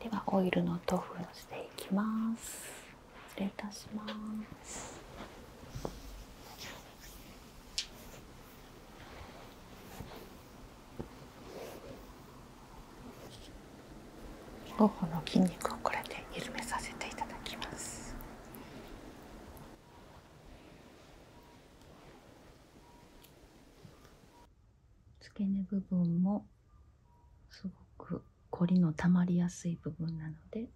ではオイルの塗布をしていきます失礼いたします頬の筋肉をこれで緩めさせていただきます付け根部分もすごく凝りのたまりやすい部分なので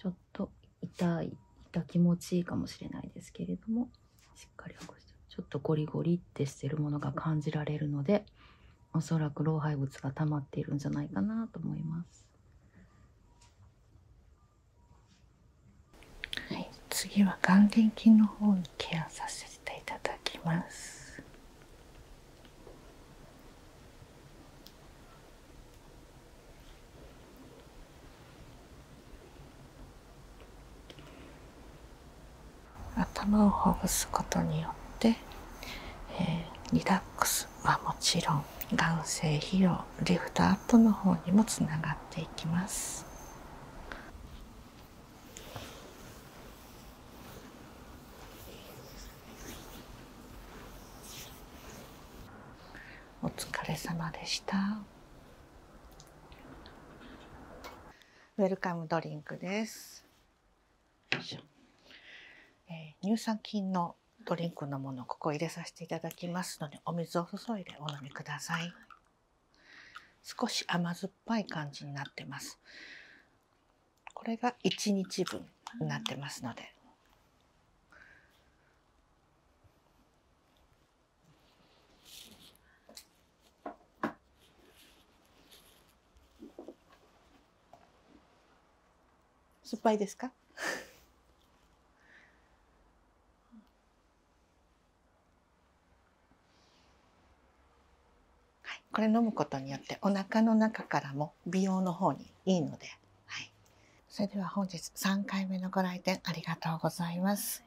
ちょっと痛い痛気持ちいいかもしれないですけれどもしっかり起こしてちょっとゴリゴリってしてるものが感じられるのでおそらく老廃物が溜まっているんじゃないかなと思います。はい、次は眼輪筋の方にケアさせ頭をほぐすことによって、リラックスはもちろん眼精疲労リフトアップの方にもつながっていきます。お疲れ様でしたウェルカムドリンクです、乳酸菌のドリンクのものここ入れさせていただきますのでお水を注いでお飲みください少し甘酸っぱい感じになってますこれが1日分になってますので酸っぱいですかはい、これ飲むことによっておなかの中からも美容の方にいいので、はい、それでは本日3回目のご来店ありがとうございます。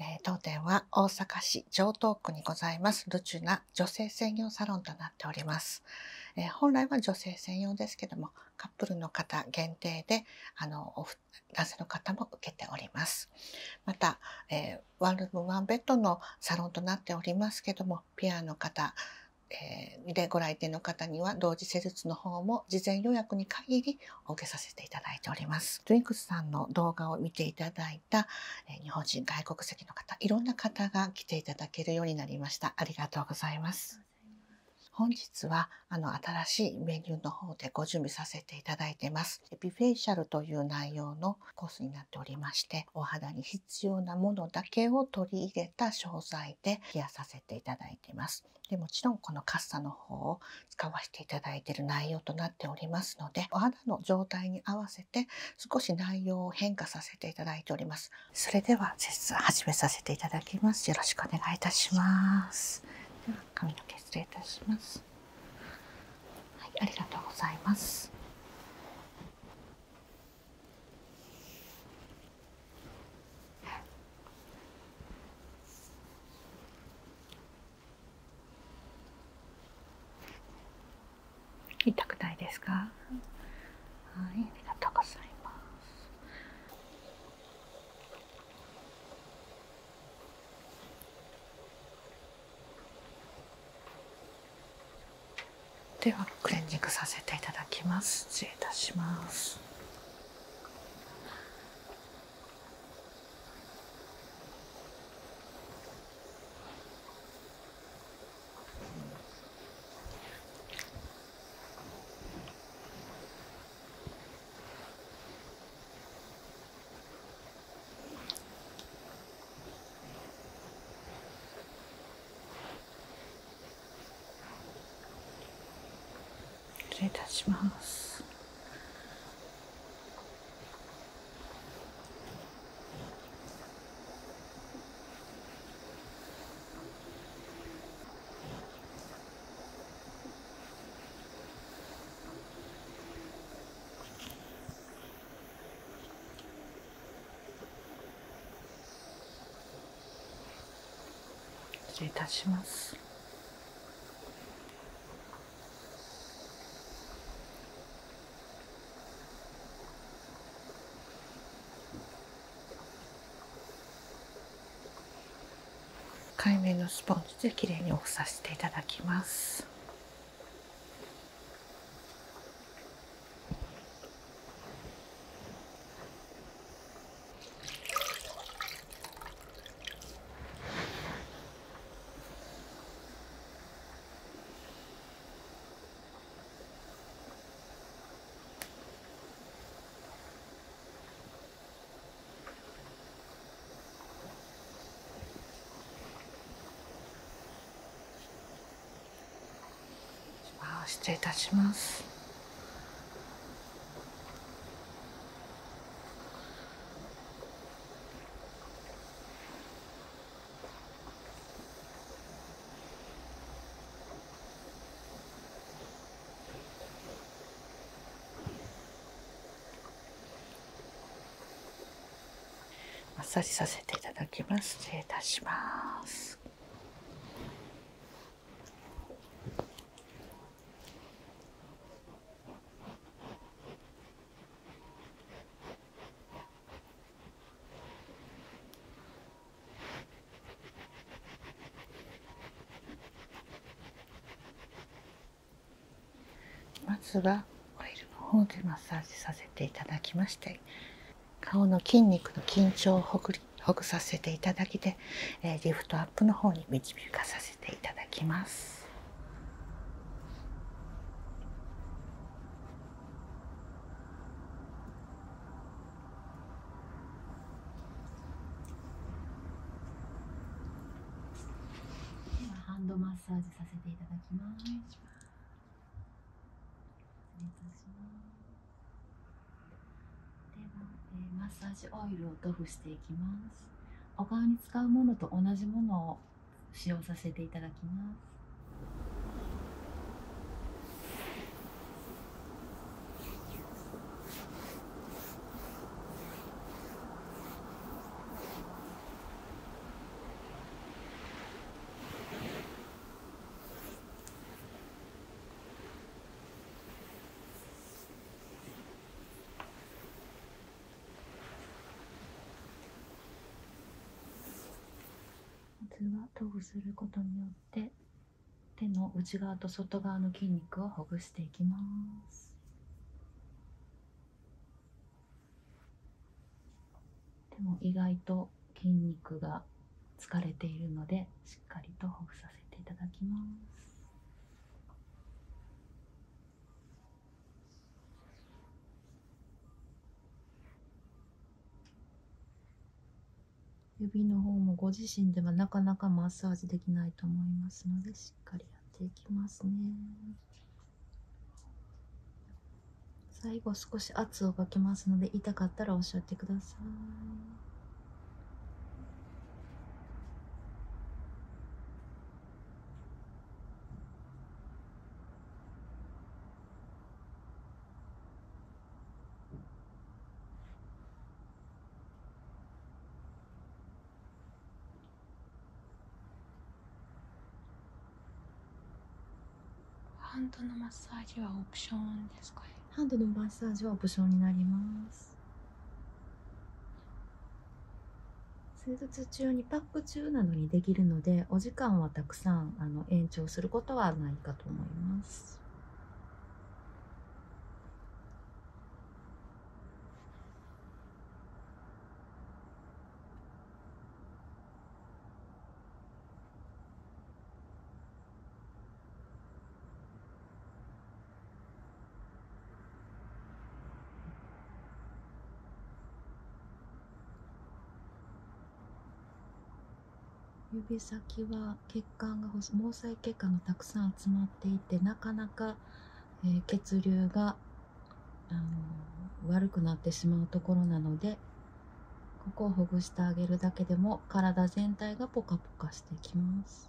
え当店は大阪市城東区にございますルチュ女性専用サロンとなっております、え本来は女性専用ですけどもカップルの方限定であの男性の方も受けております。また、えー、ワンルームワンベッドのサロンとなっておりますけども、ピアの方、えでご来店の方には同時施術の方も事前予約に限りお受けさせていただいております。トゥンクスさんの動画を見ていただいた、え日本人外国籍の方、いろんな方が来ていただけるようになりました。ありがとうございます。本日はあの新しいメニューの方でご準備させていただいてます。。ビフェイシャルという内容のコースになっておりまして、お肌に必要なものだけを取り入れた商材で冷やさせていただいてます。でもちろんこのカッサの方を使わせていただいてる内容となっておりますので、お肌の状態に合わせて少し内容を変化させていただいております。それでは、実践始めさせていただきます。よろしくお願いいたします。髪の毛失礼いたしますはいありがとうございます痛くないですかはいありがとうございますではクレンジングさせていただきます失礼いたします失礼いたします。失礼いたします。海面のスポンジできれいにオフさせていただきます失礼いたします。あっさりさせていただきます失礼いたしますまずはオイルの方でマッサージさせていただきまして顔の筋肉の緊張をほぐさせていただきで、えリフトアップの方に導かさせていただきます。ではハンドマッサージさせていただきます失礼いしますでは、えマッサージオイルを塗布していきますお顔に使うものと同じものを使用させていただきますまずは塗布することによって手の内側と外側の筋肉をほぐしていきます。でも意外と筋肉が疲れているのでしっかりとほぐさせていただきます指の方もご自身ではなかなかマッサージできないと思いますのでししっかりやっていきますね最後少し圧をかけますので痛かったらおっしゃってくださいハンドのマッサージはオプションですかねハンドのマッサージはオプションになります施術中にパック中なのにできるのでお時間はたくさんあの延長することはないかと思います指先は血管が毛細血管がたくさん集まっていてなかなかえ血流が、あの悪くなってしまうところなのでここをほぐしてあげるだけでも体全体がポカポカしてきます。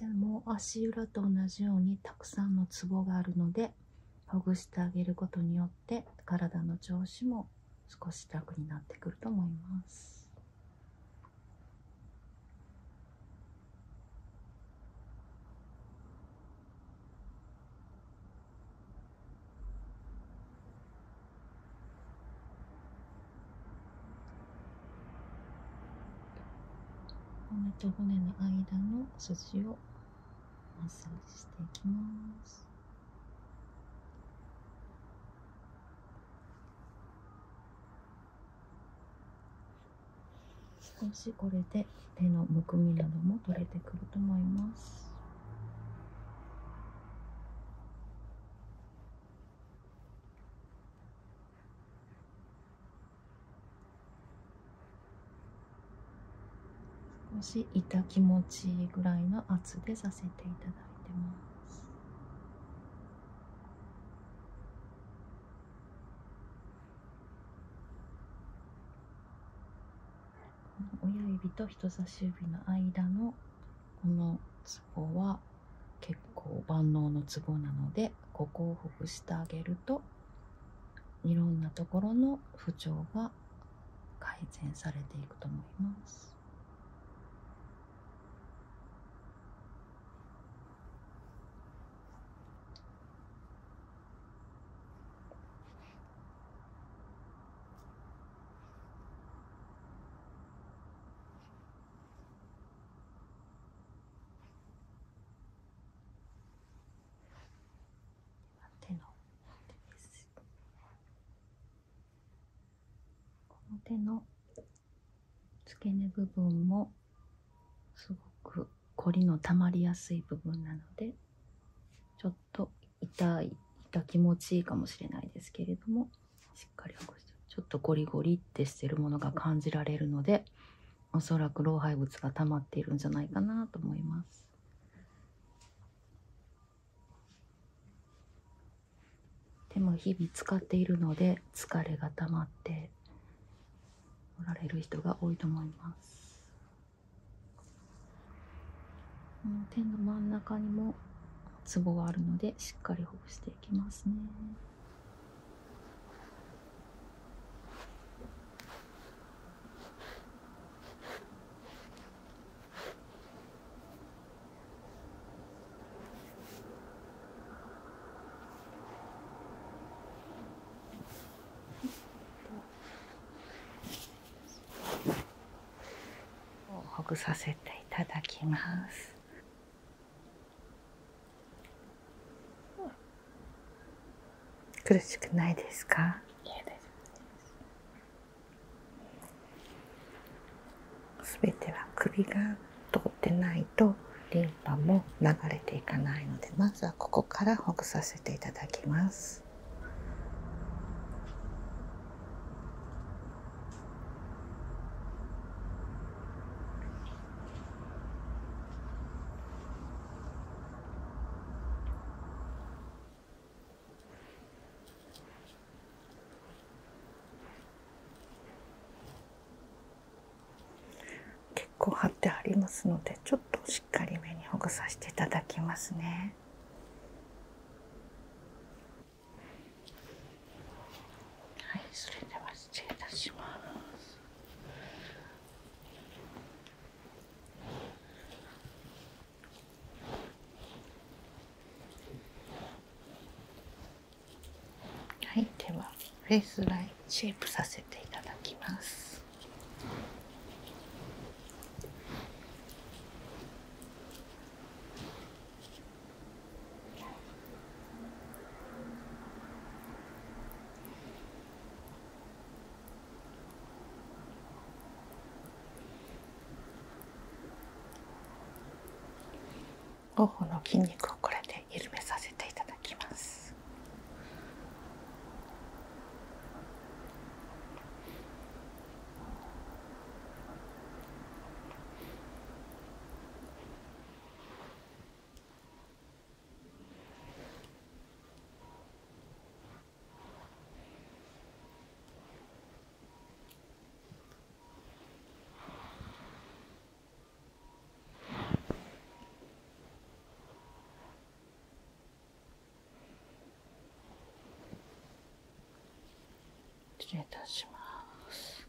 でもう足裏と同じようにたくさんのツボがあるのでほぐしてあげることによって体の調子も少し楽になってくると思います。骨と骨の間の筋をマッサージしていきます少しこれで手のむくみなども取れてくると思います少し痛気持ちいいぐらいの圧でさせていただいてます親指と人差し指の間のこのツボは結構万能のツボなのでここをほぐしてあげるといろんなところの不調が改善されていくと思います。手の手です。この手の付け根部分もすごく凝りのたまりやすい部分なのでちょっと痛い痛気持ちいいかもしれないですけれどもしっかりほぐしてちょっとゴリゴリってしてるものが感じられるので恐らく老廃物がたまっているんじゃないかなと思います。でも日々使っているので疲れが溜まっておられる人が多いと思いますこの点の真ん中にもツボがあるのでしっかりほぐしていきますねほぐさせていただきます。苦しくないですか。全ては首が通ってないとリンパも流れていかないのでまずはここからほぐさせていただきます。結構貼ってありますのでちょっとしっかりめにほぐさせていきますね。はい、それでは失礼いたします。はいではフェイスラインシェイプさせていただきます頬の筋肉をこれで緩めさせていただきます失礼いたします。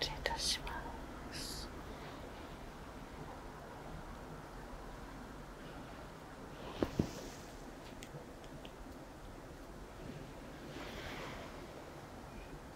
失礼いたします。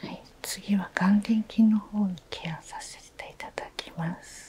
はい、次は眼輪筋の方にケアさせていただきます。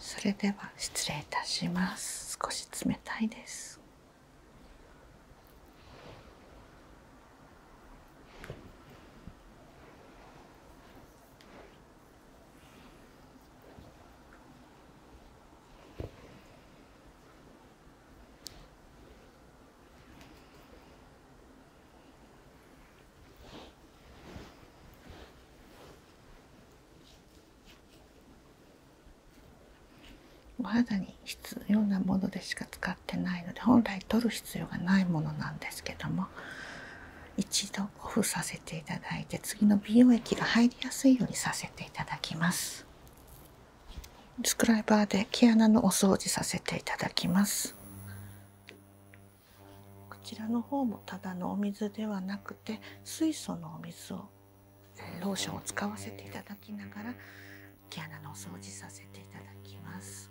それでは失礼いたします少し冷たいですお肌に必要なものでしか使わない。使ってないので本来取る必要がないものなんですけども一度オフさせていただいて次の美容液が入りやすいようにさせていただきますスライバーで毛穴のお掃除させていただきますこちらの方もただのお水ではなくて水素のお水をローションを使わせていただきながら毛穴のお掃除させていただきます。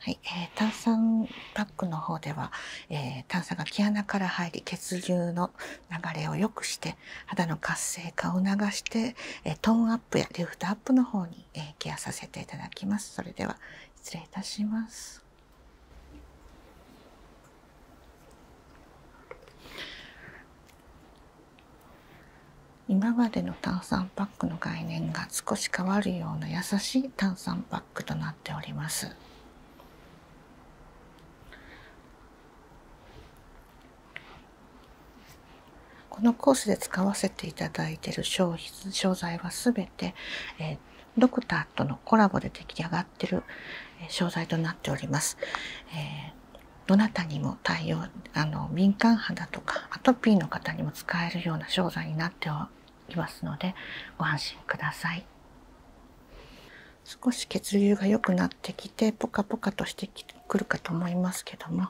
はい、えー、炭酸パックの方では、えー、炭酸が毛穴から入り血流の流れを良くして肌の活性化を流してトーンアップやリフトアップの方にケアさせていただきますそれでは失礼いたします今までの炭酸パックの概念が少し変わるような優しい炭酸パックとなっておりますこのコースで使わせていただいている商材は全て、えドクターとのコラボで出来上がってるる商材となっております。えどなたにも対応あの敏感肌とかアトピーの方にも使えるような商材になっていますのでご安心ください。少し血流が良くななっポカポカとしてくるかと思いますけども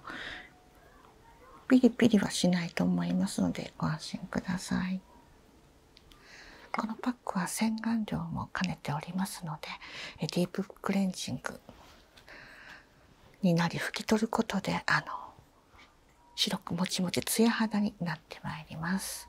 ピリピリはしないと思いますのでご安心ください。このパックは洗顔料も兼ねておりますのでディープクレンジングになり拭き取ることであの白くもちもちツヤ肌になってまいります。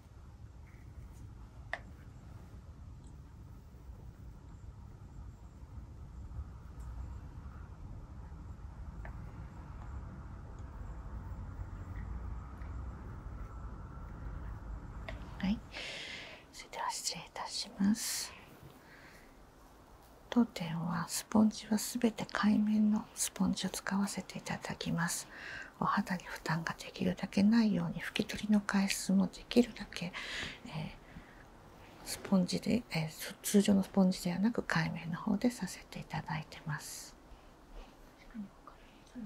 はい、それでは失礼いたします。当店はスポンジは全て海面のスポンジを使わせていただきますお肌に負担ができるだけないように拭き取りの回数もできるだけ、えスポンジで、え通常のスポンジではなく海面の方でさせていただいてますそ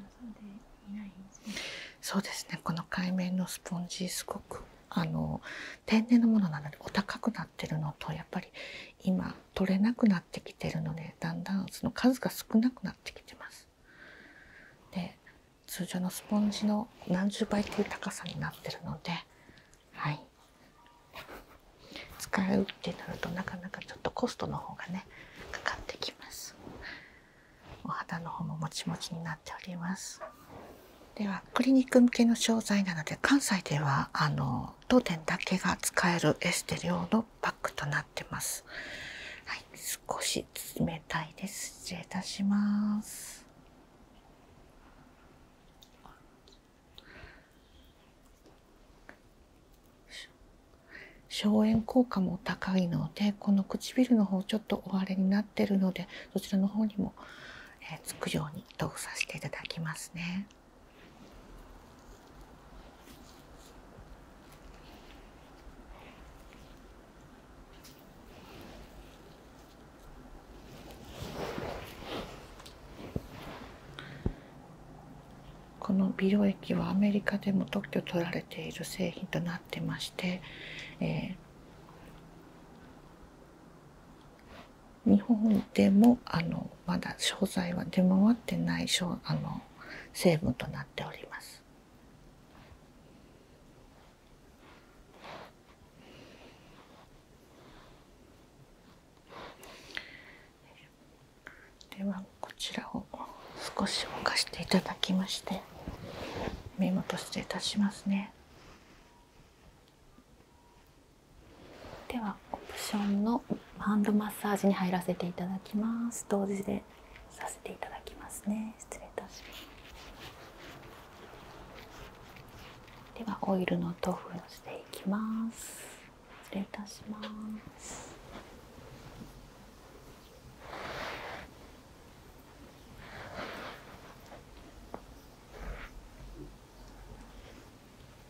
うですねこの海面のスポンジすごくあの天然のものなのでお高くなってるのとやっぱり今取れなくなってきてるのでだんだんその数が少なくなってきてます。で通常のスポンジの何十倍という高さになってるので、はい、使うってなるとなかなかちょっとコストの方がねかかってきます。お肌の方ももちもちになっております。ではクリニック向けの商材なので関西ではあの当店だけが使えるエステ料のパックとなってます。はい、少し冷たいです。失礼いたします。消炎効果も高いのでこの唇の方ちょっとお荒れになってるのでそちらの方にも、えつくように塗うさせていただきますね。この美容液はアメリカでも特許取られている製品となってまして、日本でもあのまだ商材は出回ってないあの成分となっております。ではこちらを少し動かしていただきまして目元失礼いたしますねではオプションのハンドマッサージに入らせていただきます同時でさせていただきますね失礼いたしますではオイルの塗布をしていきます失礼いたします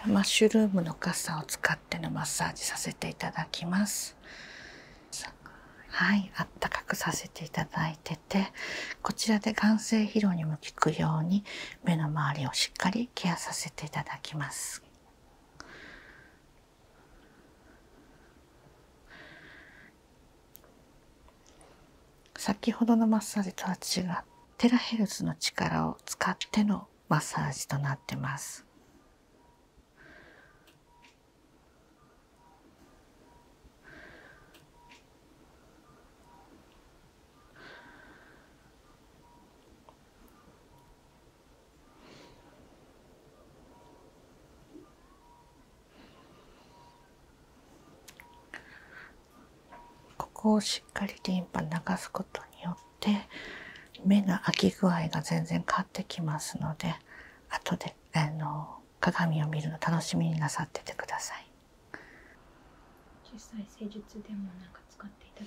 はマッシュルームのカを使ってのマッサージさせていただきますはいあったかくさせていただいててこちらで眼性疲労にも効くように目の周りをしっかりケアさせていただきます先ほどのマッサージとは違うテラヘルツの力を使ってのマッサージとなってますここをしっかりリンパ流すことによって目の開き具合が全然変わってきますので後で鏡を見るの楽しみになさっててください。もなか使っていいて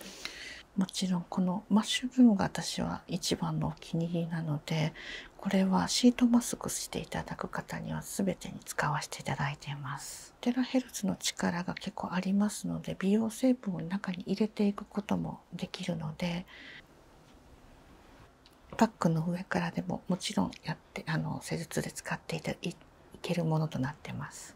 もちろんこのマッシュルームが私は一番のお気に入りなのでこれはシートマスクしていただく方には全てに使わせていただいてますテラヘルツの力が結構ありますので美容成分を中に入れていくこともできるのでパックの上からでももちろんやってあの施術で使っていいけるものとなってます。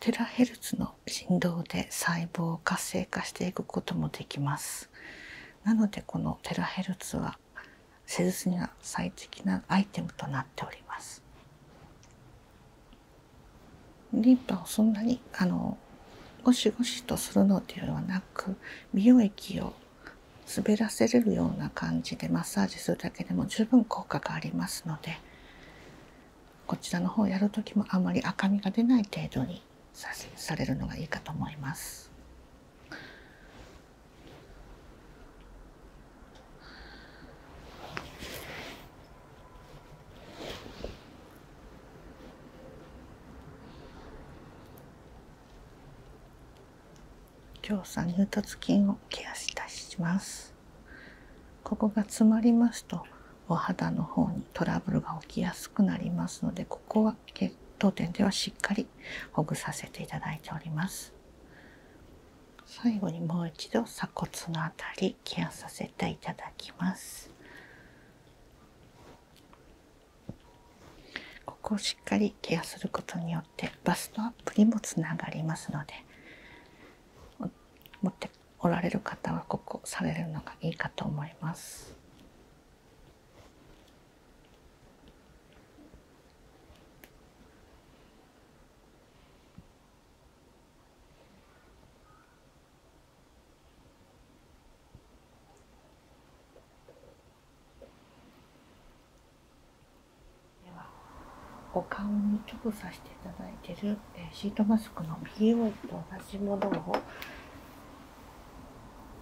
テラヘルツの振動で細胞を活性化していくこともできますなのでこのテラヘルツは施術には最適なアイテムとなっておりますリンパをそんなにあのゴシゴシとするのではなく美容液を滑らせれるような感じでマッサージするだけでも十分効果がありますのでこちらの方やる時もあまり赤みが出ない程度にさされるのがいいかと思います。強鎖乳突筋をケアしたしますここが詰まりますとお肌の方にトラブルが起きやすくなりますのでここは血当店ではしっかりほぐさせていただいております最後にもう一度鎖骨のあたりケアさせていただきますここをしっかりケアすることによって。バストアップにもつながりますので持っておられる方はここされるのがいいかと思います。お顔に塗布させていただいてる、シートマスクの PO と同じものを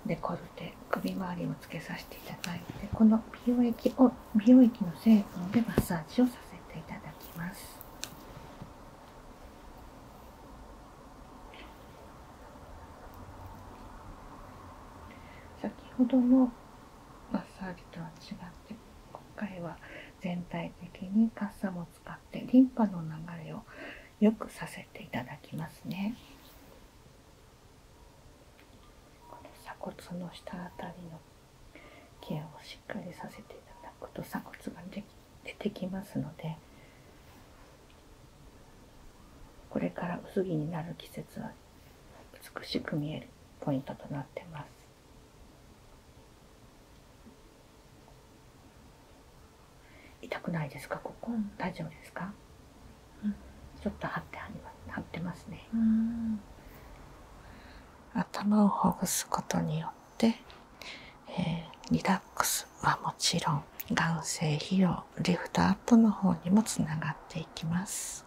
デコルテ首周りをつけさせていただいてこの美容液の成分でマッサージをさせていただきます先ほどのマッサージとは違って今回は全体的にカッ使ってリンパの流れを良くさせていただきますね。この鎖骨の下あたりのケアをしっかりさせていただくと鎖骨が出てきますのでこれから薄着になる季節は美しく見えるポイントとなってます。痛くないですかここ大丈夫ですか、うん、ちょっと張ってあってますね頭をほぐすことによって、えリラックスはもちろん眼性費用リフトアップの方にもつながっていきます。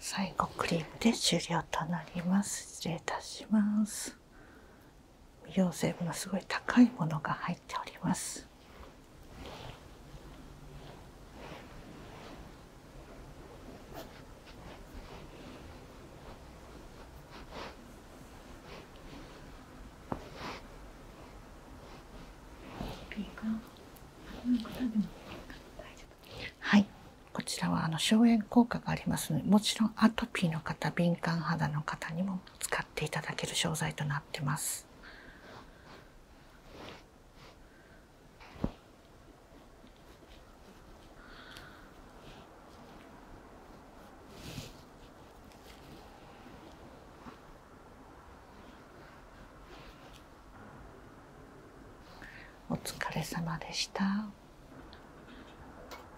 最後クリームで終了となります失礼いたします美容成分のすごい高いものが入っておりますはいこちらはあの消炎効果がありますのでもちろんアトピーの方敏感肌の方にも使っていただける商材となってます。お疲れ様でした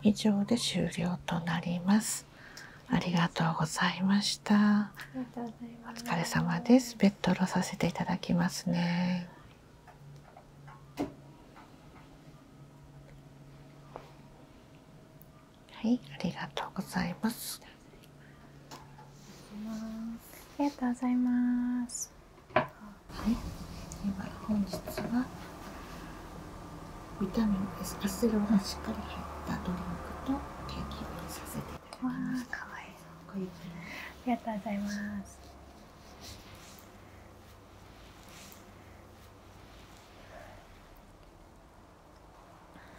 以上で終了となりますありがとうございましたお疲れ様ですベッドロさせていただきますねはい、ありがとうございます。ありがとうございます。はい、今本日はビタミン S カステロしっかり入ったドリンクと定期便させていただきます。かわいい。こういありがとうございます。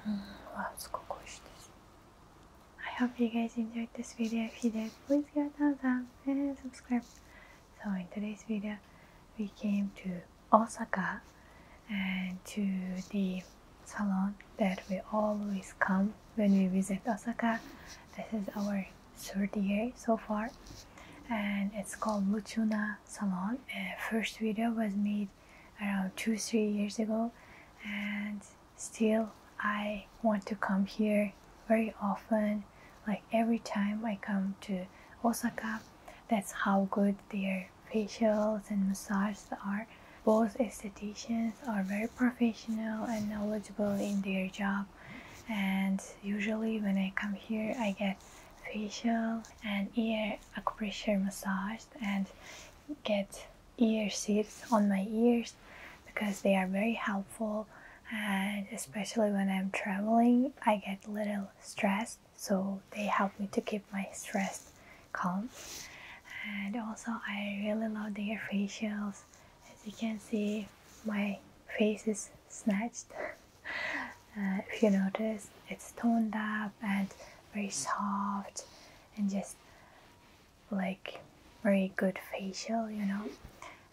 Wow, it's cool. I hope you guys enjoyed this video. If you did, please give a thumbs up and subscribe. So in today's video, we came to Osaka and to the salon that we always come when we visit Osaka. This is our third day so far and it's called Muchuna salon. Uh, first video was made around two three years ago, and still I want to come here very often. Like every time I come to Osaka, that's how good their facials and massages are. Both estheticians are very professional and knowledgeable in their job, and usually when I come here, I get facial and ear acupressure massage, and get ear seats on my ears because they are very helpful and especially when I'm traveling I get little stressed so they help me to keep my stress calm and also I really love their facials as you can see my face is snatched. Uh, if you notice, it's toned up and very soft and just like very good facial, you know.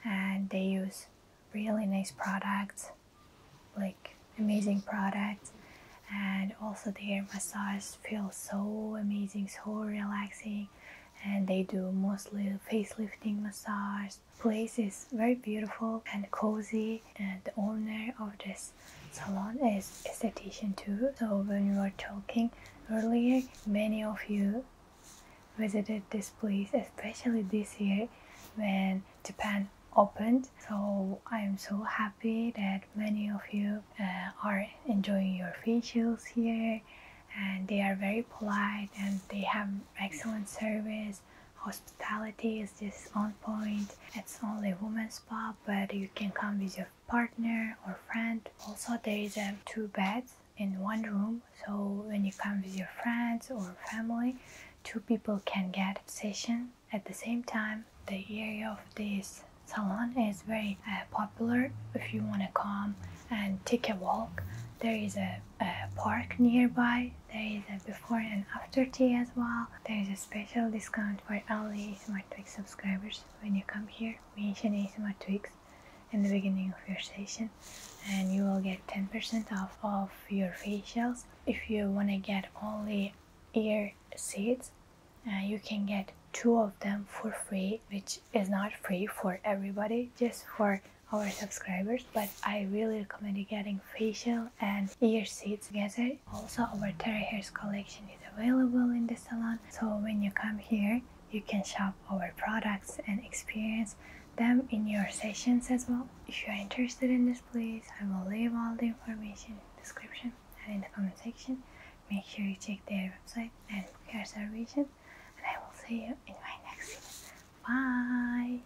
And they use really nice products, like amazing products. And also their massage feel so amazing, so relaxing. And they do mostly facelifting massage place is very beautiful and cozy and the owner of this salon is a esthetician too. So when we were talking earlier, many of you visited this place, especially this year when Japan opened. So I'm so happy that many of you uh, are enjoying your facials here and they are very polite and they have excellent service hospitality is just on point. It's only women's pub, but you can come with your partner or friend. Also, there is a um, two beds in one room, so when you come with your friends or family, two people can get session at the same time. The area of this salon is very uh, popular if you want to come and take a walk. There is a park nearby, there is a before and after tea as well. There is a special discount for all Smart Tweaks subscribers when you come here, mention ASMR Tweaks in the beginning of your session and you will get 10% off of your facials. If you want to get only ear seeds, uh, you can get two of them for free, which is not free for everybody, just for our subscribers but I really recommend getting facial and ear seat together. Also our Terry Hairs collection is available in the salon so when you come here you can shop our products and experience them in your sessions as well. If you are interested in this place, I will leave all the information in the description and in the comment section. Make sure you check their website and hair your and I will see you in my next video. Bye!